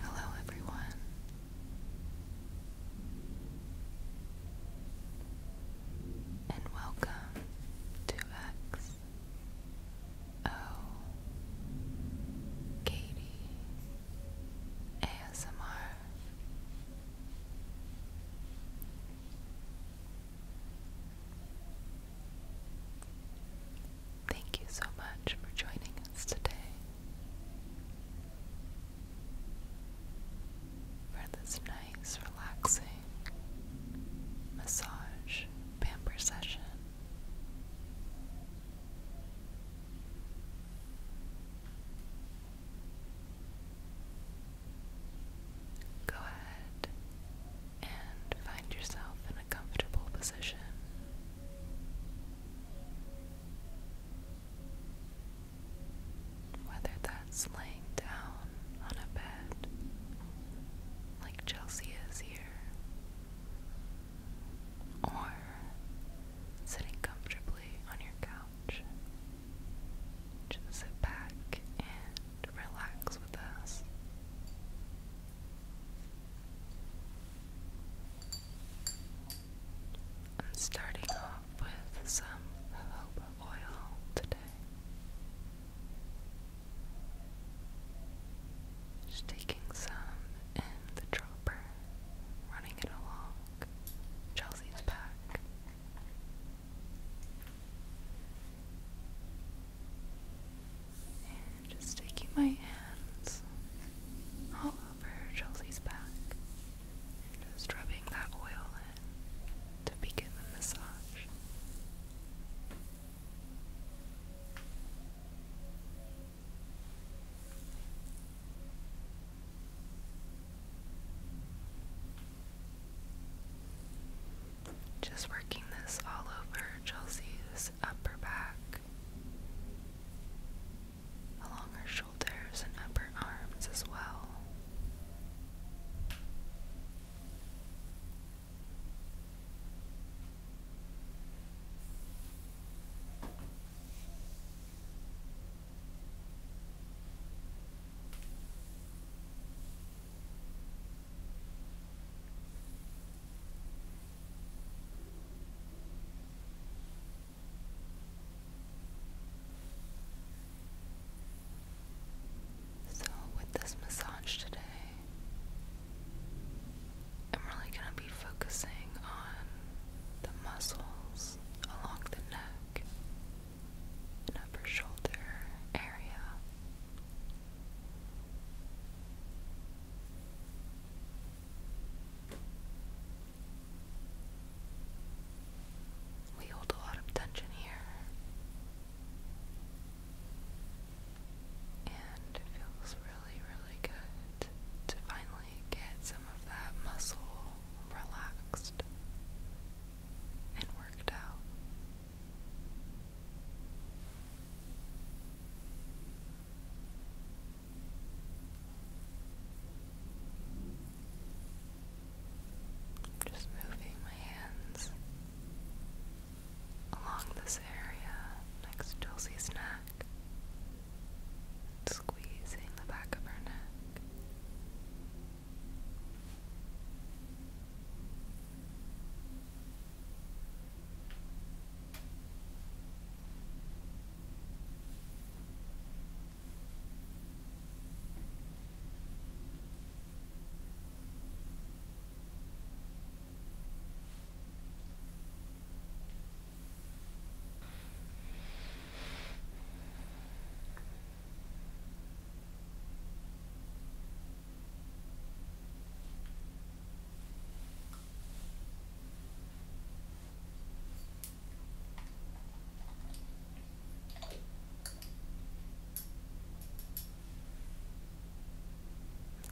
Hello, everyone. And welcome to X O ASMR. Thank you so much for joining us today for this nice, relaxing massage pamper session. Go ahead and find yourself in a comfortable position. Whether that's laying down on a bed like Chelsea is here, or sitting comfortably on your couch. Just sit back and relax with us. I'm starting off with some jojoba oil today. Just taking some in the dropper running it along Chelsea's back. And just taking my hands all over Chelsea's back and just rubbing that oil in to begin the massage. Just working this all over Chelsea's upper back, along her shoulders and upper arms as well. So, with this massage today, I'm really going to be focusing on the muscles along the neck and upper shoulder area. We hold a lot of tension here, and it feels really, really good to finally get some of that muscle relaxed and worked out. Just moving my hands along this area next to Elsie's neck squeezing the back of her neck.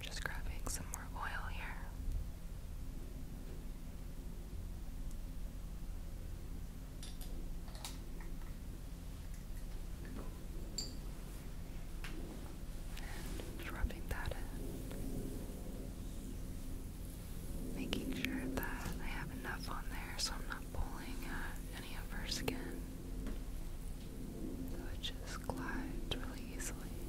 Just grabbing some more oil here. And just that Making sure that I have enough on there so I'm not pulling uh, any of her skin. So it just glides really easily.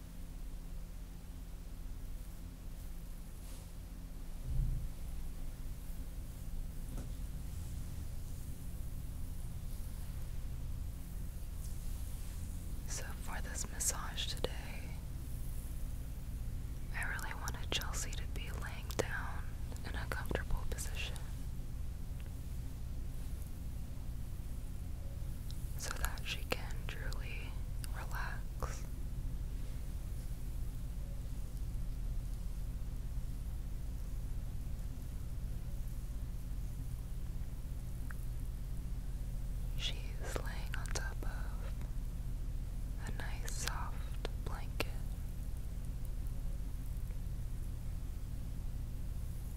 So, for this massage today, I really wanted Chelsea to be laying down in a comfortable position so that she can truly relax. She's laying on top of a nice soft blanket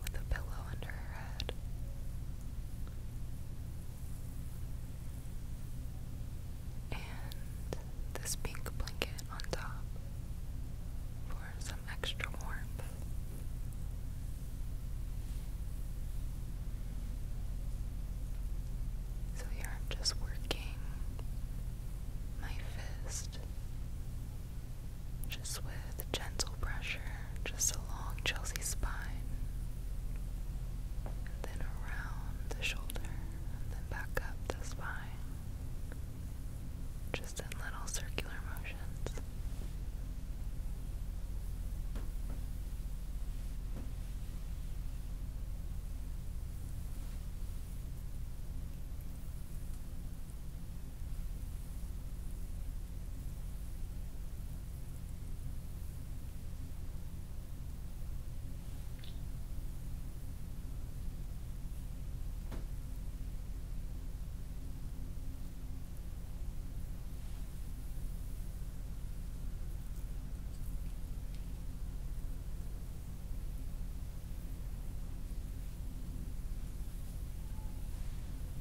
with a pillow under her head. And this pink blanket on top for some extra warmth. So here I'm just working my fist just with gentle pressure just along Chelsea's spine, and then around the shoulder, and then back up the spine, just in little circular motions.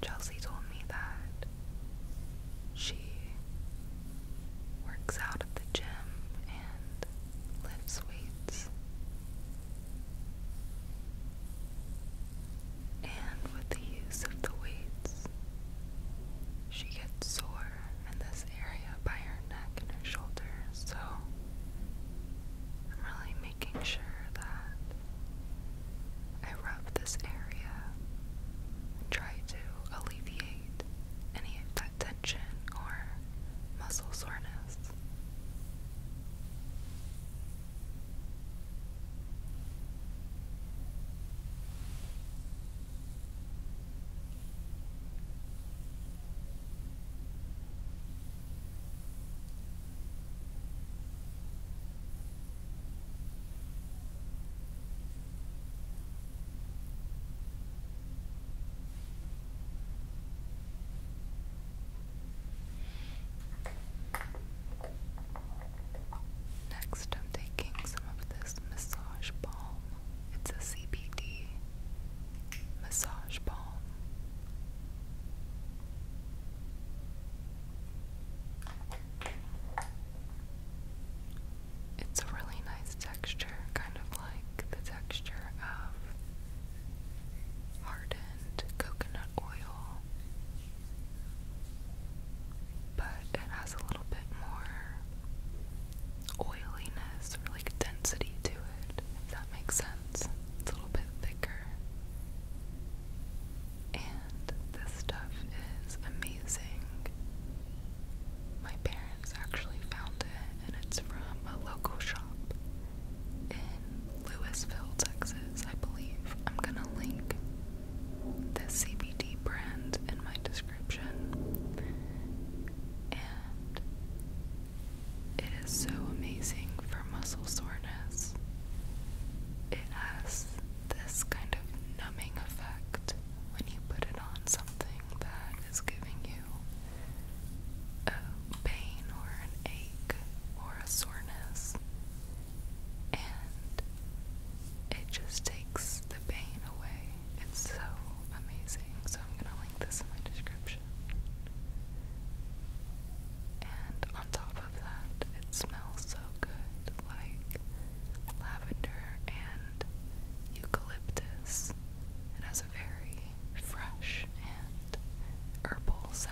Chelsea told me that she works out at the gym and lifts weights. And with the use of the weights, she gets sore in this area by her neck and her shoulders. So I'm really making sure that I rub this area and try to alleviate any of tension or muscle soreness. Next, I'm taking some of this massage balm. It's a CBD massage balm. It's a really nice texture, kind of like the texture of hardened coconut oil, but it has a little bit more oiliness or like density to it, if that makes sense. It's a little bit thicker and this stuff is amazing. My parents actually found it, and it's from a local shop in Louisville, Texas, I believe. I'm gonna link the CBD brand in my description, and it is so amazing for muscle soreness. It has this kind of numbing effect when you put it on something that is giving you a pain or an ache or a soreness, and it just takes the pain away. It's so amazing. So, I'm going to link this in my description. And on top top of that, it smells so good like lavender and eucalyptus. It has a very fresh and herbal scent.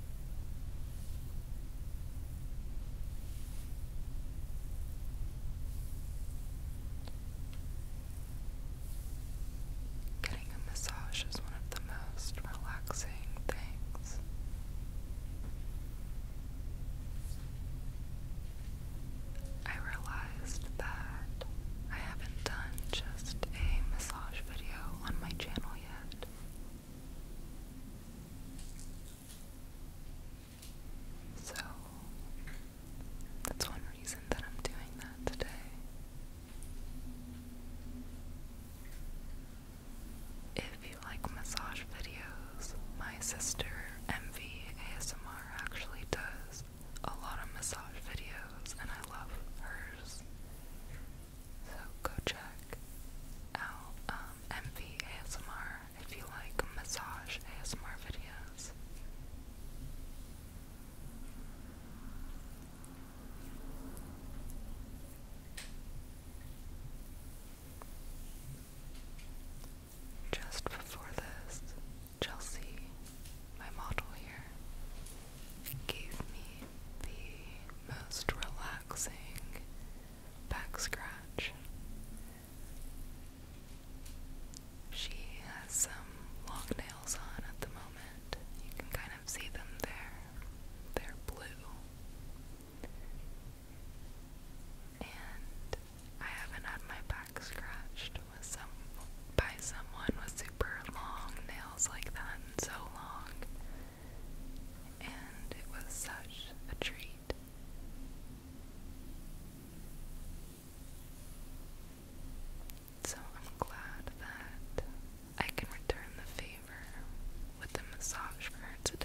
Getting a massage is one of the most relaxing things. I realized that I haven't done just a massage video on my channel yet. So that's one reason that I'm doing that today. If you like massage videos, my sister MV ASMR actually does a lot of massage videos and I love hers. So go check out MV um, ASMR if you like massage ASMR videos. Just before this, Chelsea, my model here, gave me the most relaxing back scratch. She has some long nails on at the moment. You can kind of see them there. They're blue. And I haven't had my back scratched with some by someone with super long nails like that so long and it was such a treat. So I'm glad that I can return the favor with the massage for her today.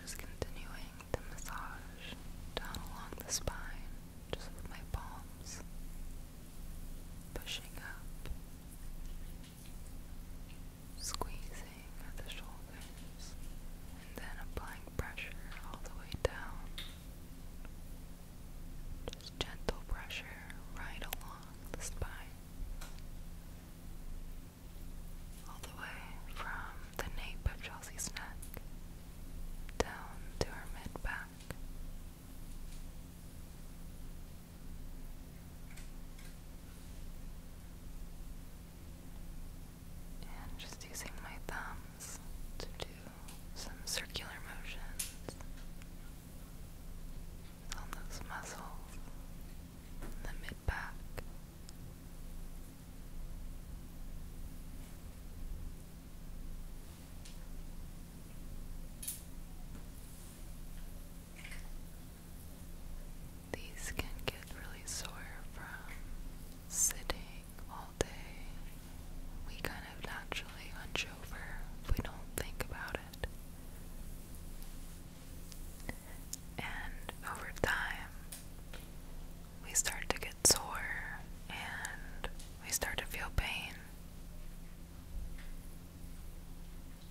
Just continuing the massage down along the spine, just with my palms pushing up squeezing at the shoulders and then applying pressure all the way down. Just gentle pressure right along the spine. All the way from the nape of Chelsea's neck down to her mid back. And just using my thumbs to do some circular motions on those muscles in the mid back. These can get really sore from sitting all day. We kind of naturally hunch over if we don't think about it. And over time, we start to get sore and we start to feel pain.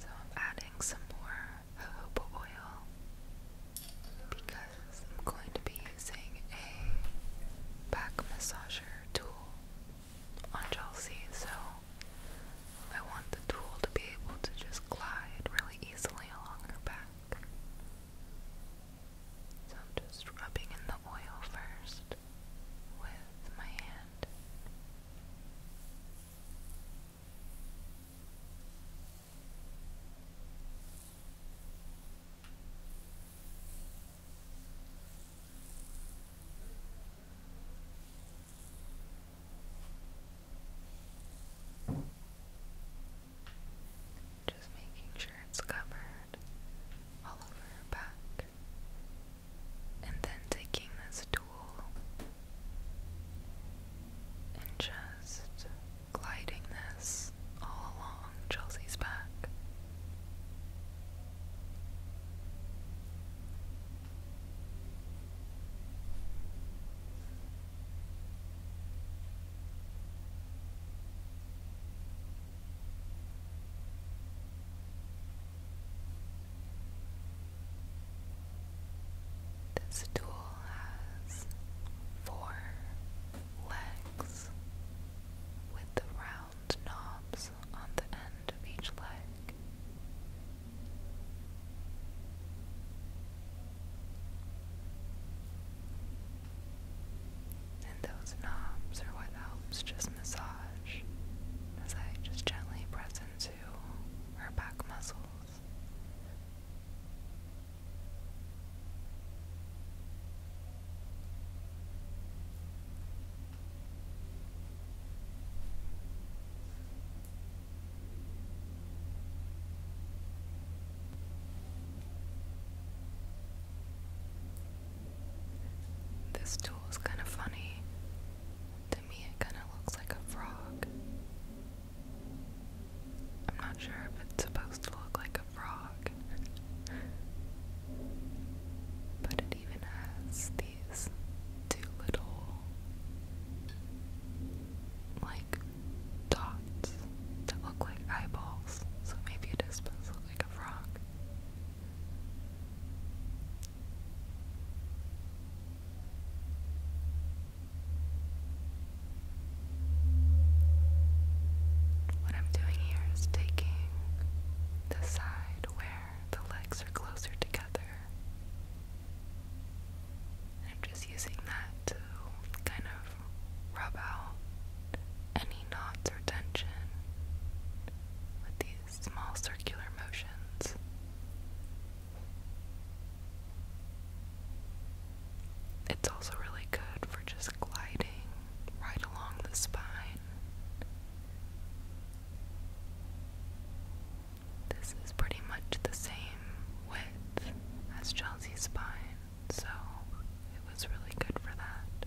So I'm adding some more jojoba oil because I'm going to be using a back massager tool on Chelsea, so I want the tool to be able to just glide really easily along her back. So I'm just rubbing in the oil first with my hand. Just making sure it's covered all over her back and then taking this tool and just gliding this all along Chelsea's back. This stool has four legs with the round knobs on the end of each leg. And those knobs are what helps just massage as I just gently press into her back muscles. This tool is kind of funny. To me, it kind of looks like a frog. I'm not sure if it's supposed to look like a frog. But it even has these two little, like, dots that look like eyeballs. So maybe it is supposed look like a frog. What I'm doing here is taking the side where the legs are closer together. I'm just using that to kind of rub out any knots or tension with these small circular motions. It's also really good for just gliding right along the spine. This is pretty much the same width as Chelsea's spine, so it was really good for that.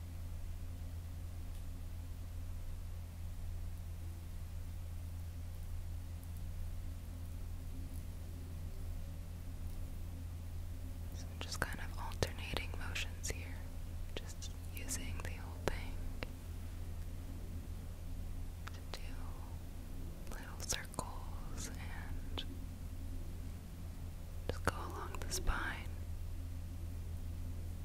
just kind of alternating motions here, just using the old thing to do little circles and just go along the spine.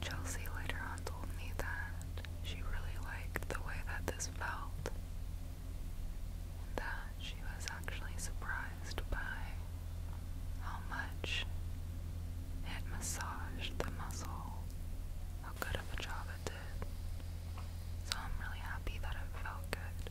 Chelsea later on told me that she really liked the way that this felt, and that she was actually surprised by how much it massaged the muscle, how good of a job it so I'm really happy that it felt good.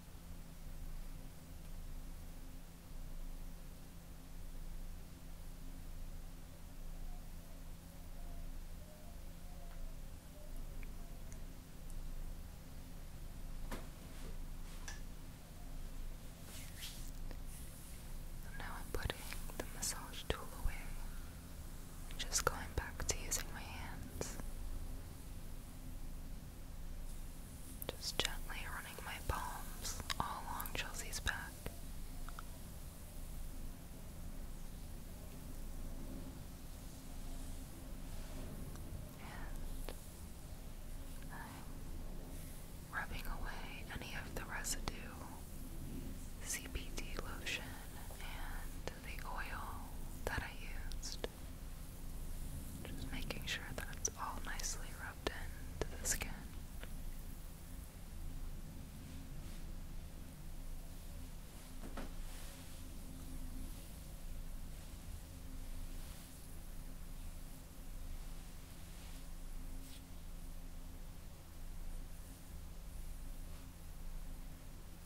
now I'm putting the massage tool away and just going back to using my hands. Just gently running my palms all along Chelsea's back. And rubbing away any of the residue, CBD lotion, and the oil that I used. Just making sure that it's all nicely rubbed into the skin.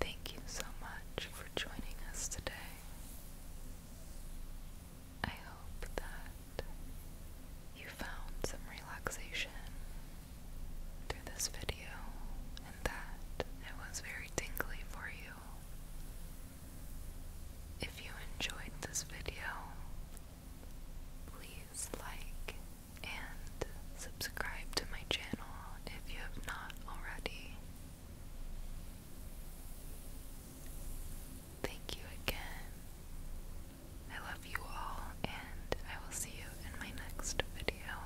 Thank you so much for joining us today. I hope that you found some relaxation through this video and that it was very tingly for you. If you enjoyed this video, please like and subscribe to my channel if you have not already. Thank you again. I love you all, and I will see you in my next video.